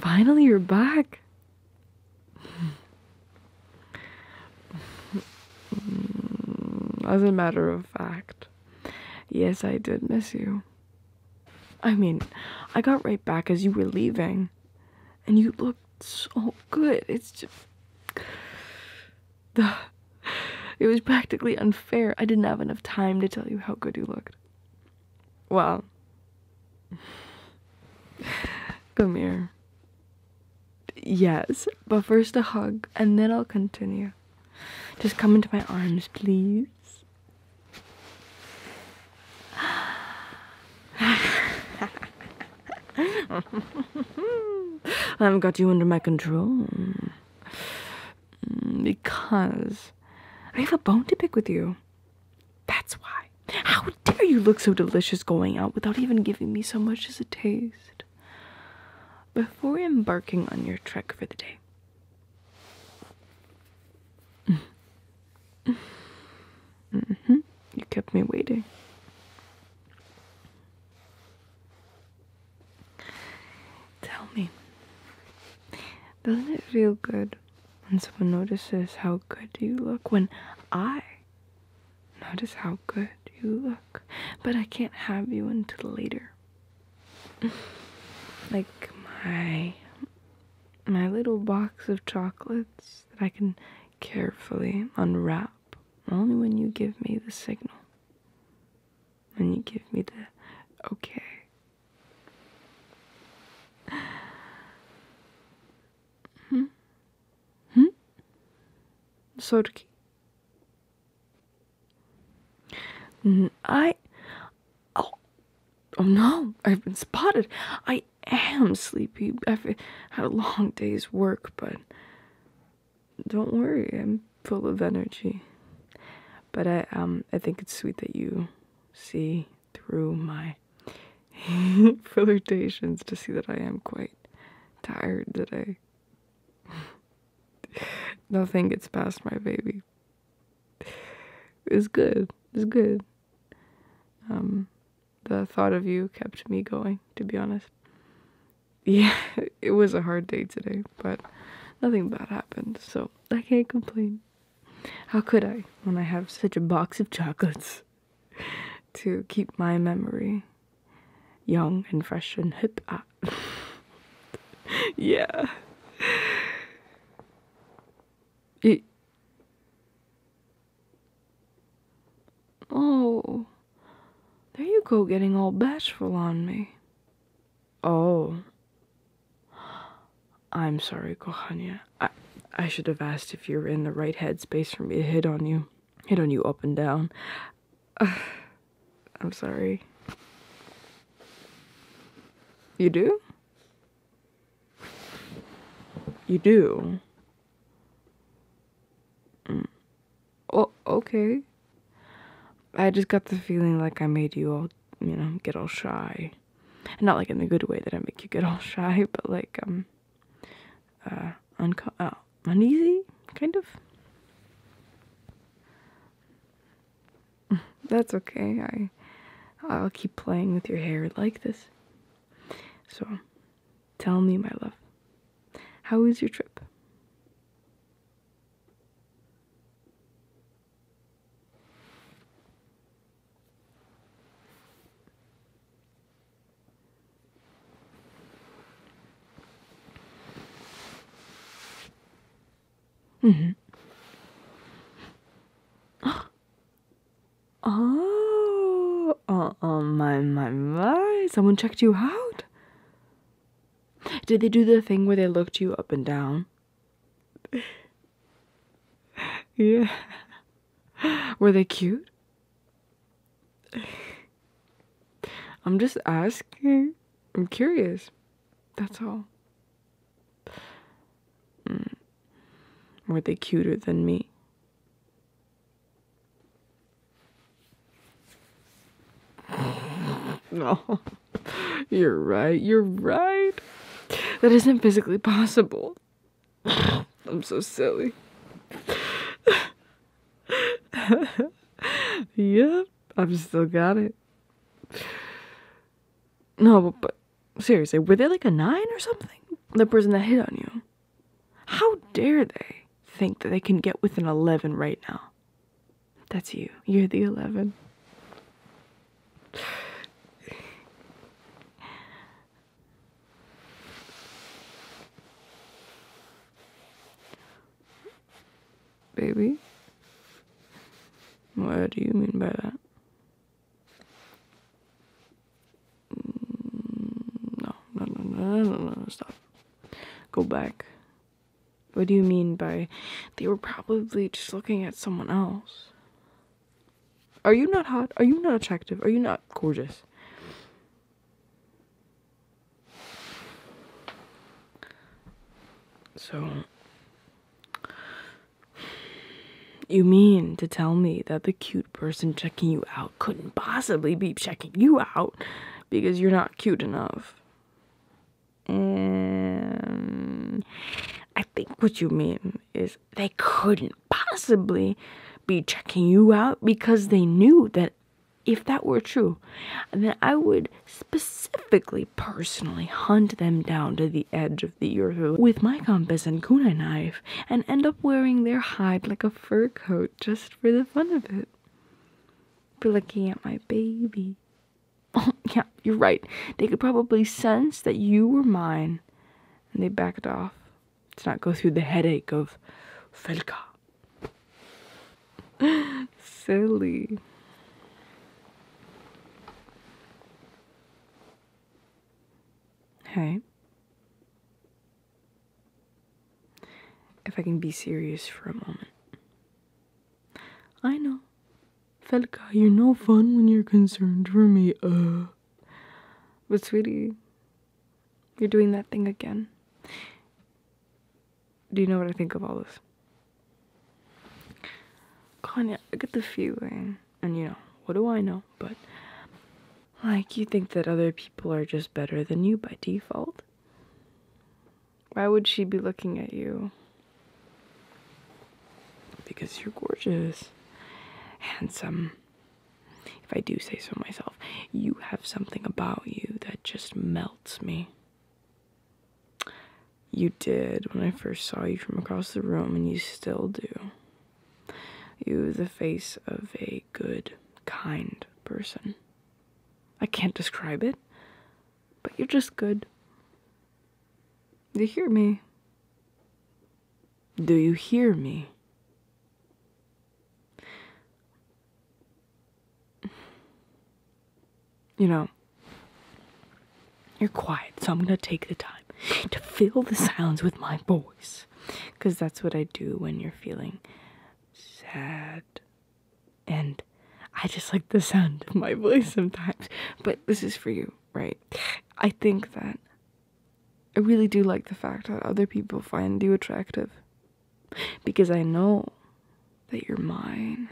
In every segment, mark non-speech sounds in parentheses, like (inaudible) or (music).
Finally, you're back. As a matter of fact, yes, I did miss you. I mean, I got right back as you were leaving, and you looked so good. It's just it was practically unfair. I didn't have enough time to tell you how good you looked. Well, come here. Yes, but first a hug, and then I'll continue. Just come into my arms, please. (laughs) I've got you under my control. Mm, because I have a bone to pick with you. That's why. How dare you look so delicious going out without even giving me so much as a taste? Before embarking on your trek for the day. Mm-hmm. You kept me waiting. Tell me, doesn't it feel good when someone notices how good you look? When I notice how good you look, but I can't have you until later. (laughs) like my my little box of chocolates that I can carefully unwrap only when you give me the signal and you give me the okay. Hmm? Hmm? Sorki. I. Oh. Oh no, I've been spotted. I am sleepy. I've had a long day's work, but don't worry, I'm full of energy. But I um I think it's sweet that you see through my (laughs) flirtations to see that I am quite tired today. (laughs) Nothing gets past my baby. It's good. It's good. Um the thought of you kept me going, to be honest yeah, (laughs) it was a hard day today, but nothing bad happened, so I can't complain. How could I when I have such a box of chocolates (laughs) to keep my memory young and fresh and hip? Ah. (laughs) yeah. It, Oh, there you go, getting all bashful on me. Oh, I'm sorry, Kohania. I, I should have asked if you were in the right headspace for me to hit on you, hit on you up and down. (sighs) I'm sorry. You do? You do? Mm. Well, oh, okay. I just got the feeling like I made you all, you know, get all shy. And not like in the good way that I make you get all (laughs) shy, but like, um, uh, unco- uh, uneasy, kind of. (laughs) That's okay. I, I'll keep playing with your hair like this. So, tell me, my love, how is your trip? Mm-hmm. (gasps) Oh, Oh, oh, my, my, my. Someone checked you out. Did they do the thing where they looked you up and down? (laughs) yeah. Were they cute? I'm just asking. I'm curious. That's all. Hmm. Were they cuter than me? (laughs) No. You're right. You're right. That isn't physically possible. (laughs) I'm so silly. (laughs) yep, I've still got it. No, but, seriously, were they like a nine or something? The person that hit on you. How dare they think that they can get within 11 right now? That's you. You're the 11. Baby? What do you mean by that? No, no, no, no, no, no, stop. Go back. What do you mean by they were probably just looking at someone else? Are you not hot? Are you not attractive? Are you not gorgeous? So, you mean to tell me that the cute person checking you out couldn't possibly be checking you out because you're not cute enough. I think what you mean is they couldn't possibly be checking you out because they knew that if that were true, then I would specifically personally hunt them down to the edge of the earth with my compass and kunai knife and end up wearing their hide like a fur coat just for the fun of it. For looking at my baby. (laughs) yeah, you're right. They could probably sense that you were mine. And they backed off to not go through the headache of Felka. (laughs) Silly. Hey. If I can be serious for a moment. I know. Felka, you're no fun when you're concerned for me, uh. But, sweetie, you're doing that thing again. Do you know what I think of all this? Kanya? I get the feeling, and you know, what do I know? But like, you think that other people are just better than you by default. Why would she be looking at you? Because you're gorgeous, handsome. If I do say so myself, you have something about you that just melts me. You did when I first saw you from across the room, and you still do. You, the face of a good, kind person. I can't describe it, but you're just good. you hear me? Do you hear me? You know, you're quiet, so I'm gonna take the time to fill the silence with my voice because that's what I do when you're feeling sad. And I just like the sound of my voice sometimes, but this is for you, right? I think that I really do like the fact that other people find you attractive because I know that you're mine.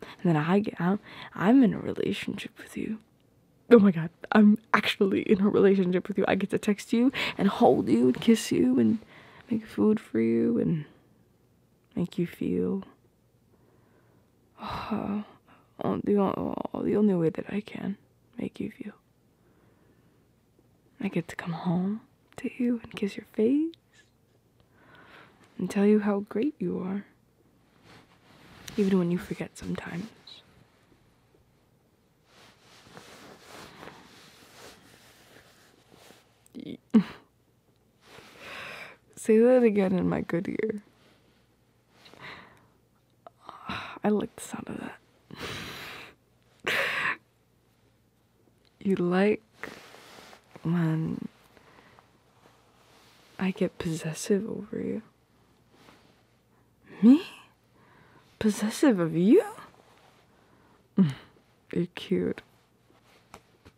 And then I get out, I'm in a relationship with you oh my god, I'm actually in a relationship with you. I get to text you and hold you and kiss you and make food for you and make you feel (sighs) the, oh, the only way that I can make you feel. I get to come home to you and kiss your face and tell you how great you are, even when you forget sometimes. (laughs) Say that again in my good ear. (sighs) I like the sound of that. (laughs) you like when I get possessive over you. Me? Possessive of you? Mm, you're cute.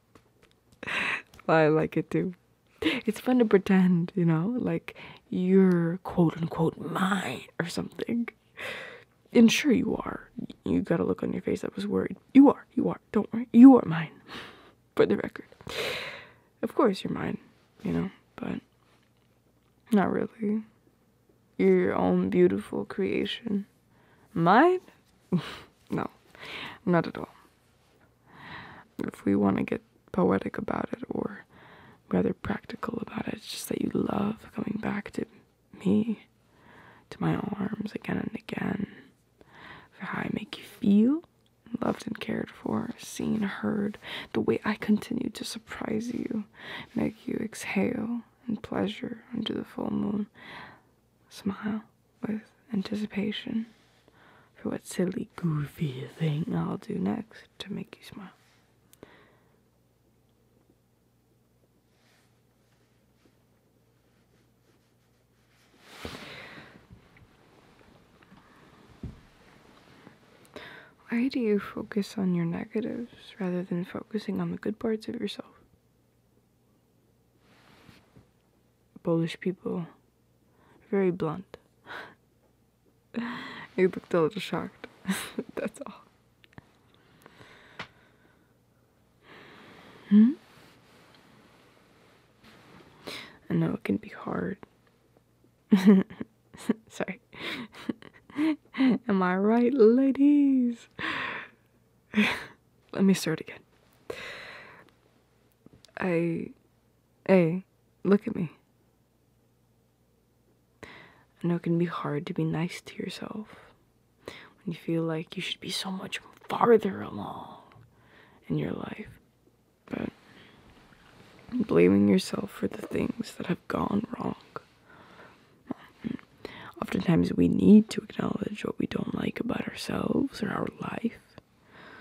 (laughs) I like it too. It's fun to pretend, you know, like you're quote unquote mine or something. Ensure you are. You got a look on your face. that was worried. You are. You are. Don't worry. You are mine. (laughs) For the record. Of course, you're mine, you know, but not really. You're your own beautiful creation. Mine? (laughs) no, not at all. If we want to get poetic about it or rather practical about it, it's just that you love coming back to me, to my arms again and again, for how I make you feel loved and cared for, seen, heard, the way I continue to surprise you, make you exhale in pleasure under the full moon, smile with anticipation for what silly, goofy thing I'll do next to make you smile. Why do you focus on your negatives rather than focusing on the good parts of yourself? Polish people very blunt. (laughs) you looked a little shocked. (laughs) That's all. Hmm? I know it can be hard (laughs) Sorry. (laughs) Am I right, ladies? (laughs) Let me start again. I. Hey, look at me. I know it can be hard to be nice to yourself when you feel like you should be so much farther along in your life but blaming yourself for the things that have gone wrong. Um, oftentimes, we need to acknowledge what we don't like about ourselves or our life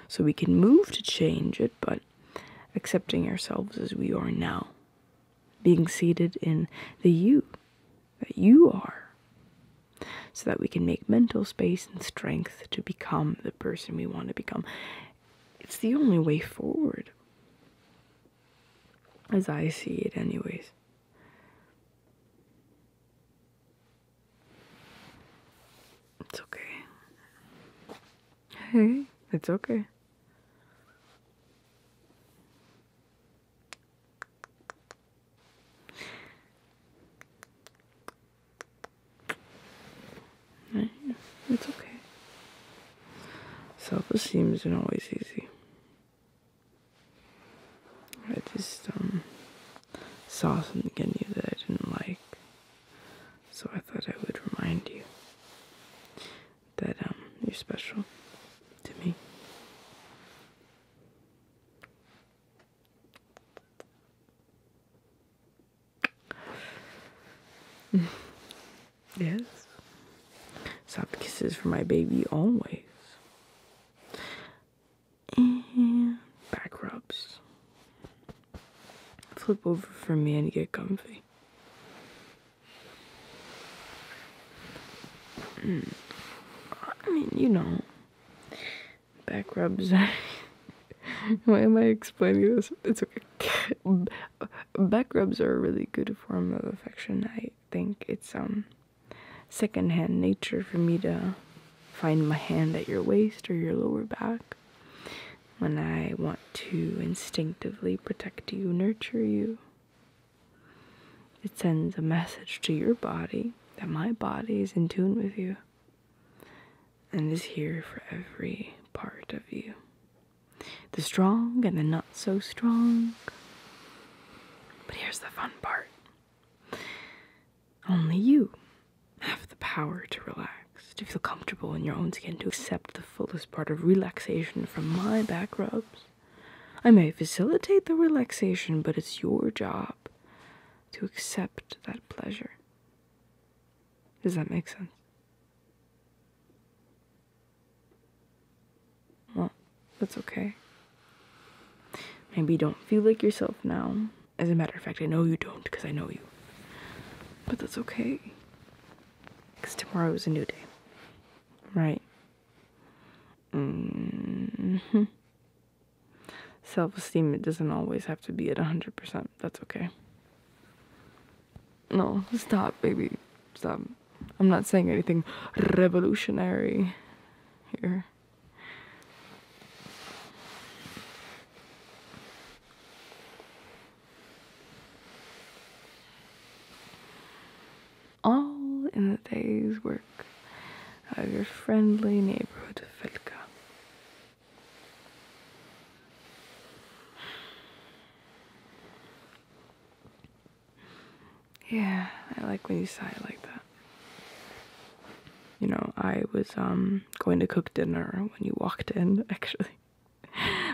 so we can move to change it, but accepting ourselves as we are now, being seated in the you that you are, so that we can make mental space and strength to become the person we want to become. It's the only way forward. As I see it, anyways. It's okay. Hey, it's okay. It's okay. Self esteem isn't always easy. I just um, saw something in you that I didn't like, so I thought I would remind you that um, you're special to me yes. Soft kisses for my baby always. And back rubs. Flip over for me and get comfy. Mm. I mean, you know, back rubs. (laughs) Why am I explaining this? It's okay. (laughs) Back rubs are a really good form of affection. I think it's um secondhand nature for me to find my hand at your waist or your lower back when I want to instinctively protect you, nurture you. It sends a message to your body that my body is in tune with you and is here for every part of you the strong and the not so strong. But here's the fun part only you have the power to relax, to feel comfortable in your own skin, to accept the fullest part of relaxation from my back rubs. I may facilitate the relaxation, but it's your job to accept that pleasure. Does that make sense? Well, that's okay. Maybe you don't feel like yourself now. As a matter of fact, I know you don't because I know you. But that's okay. Because tomorrow is a new day. Right? Mm-hmm self esteem, it doesn't always have to be at a 100%. That's okay. No, stop, baby. Stop. I'm not saying anything revolutionary here. All in the day's work of your friendly neighborhood Felka. Yeah, I like when you sigh like that. You know, I was um going to cook dinner when you walked in, (laughs) actually.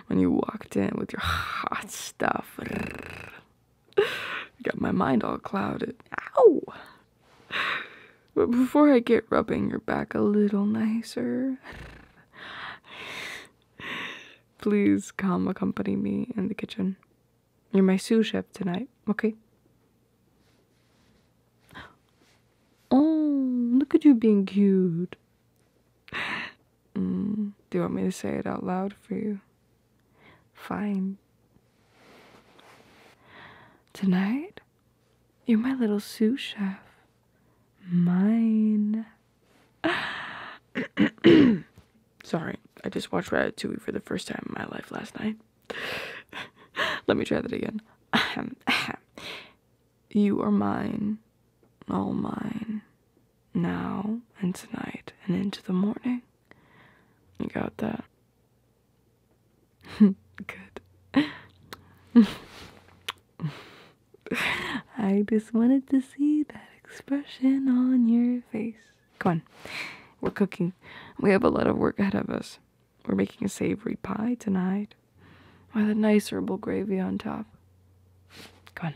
When you walked in with your hot stuff. (laughs) Got my mind all clouded. Ow! But before I get rubbing your back a little nicer, please come accompany me in the kitchen. You're my sous chef tonight, okay? Oh, look at you being cute. Mm, do you want me to say it out loud for you? Fine. Tonight, you're my little sous chef. Mine. (clears throat) Sorry, I just watched Ratatouille for the first time in my life last night. (laughs) Let me try that again. (clears throat) you are mine, all mine, now and tonight and into the morning. You got that? Good. I just wanted to see that expression on your face. Come on. We're cooking. We have a lot of work ahead of us. We're making a savory pie tonight with a nice herbal gravy on top. Come on.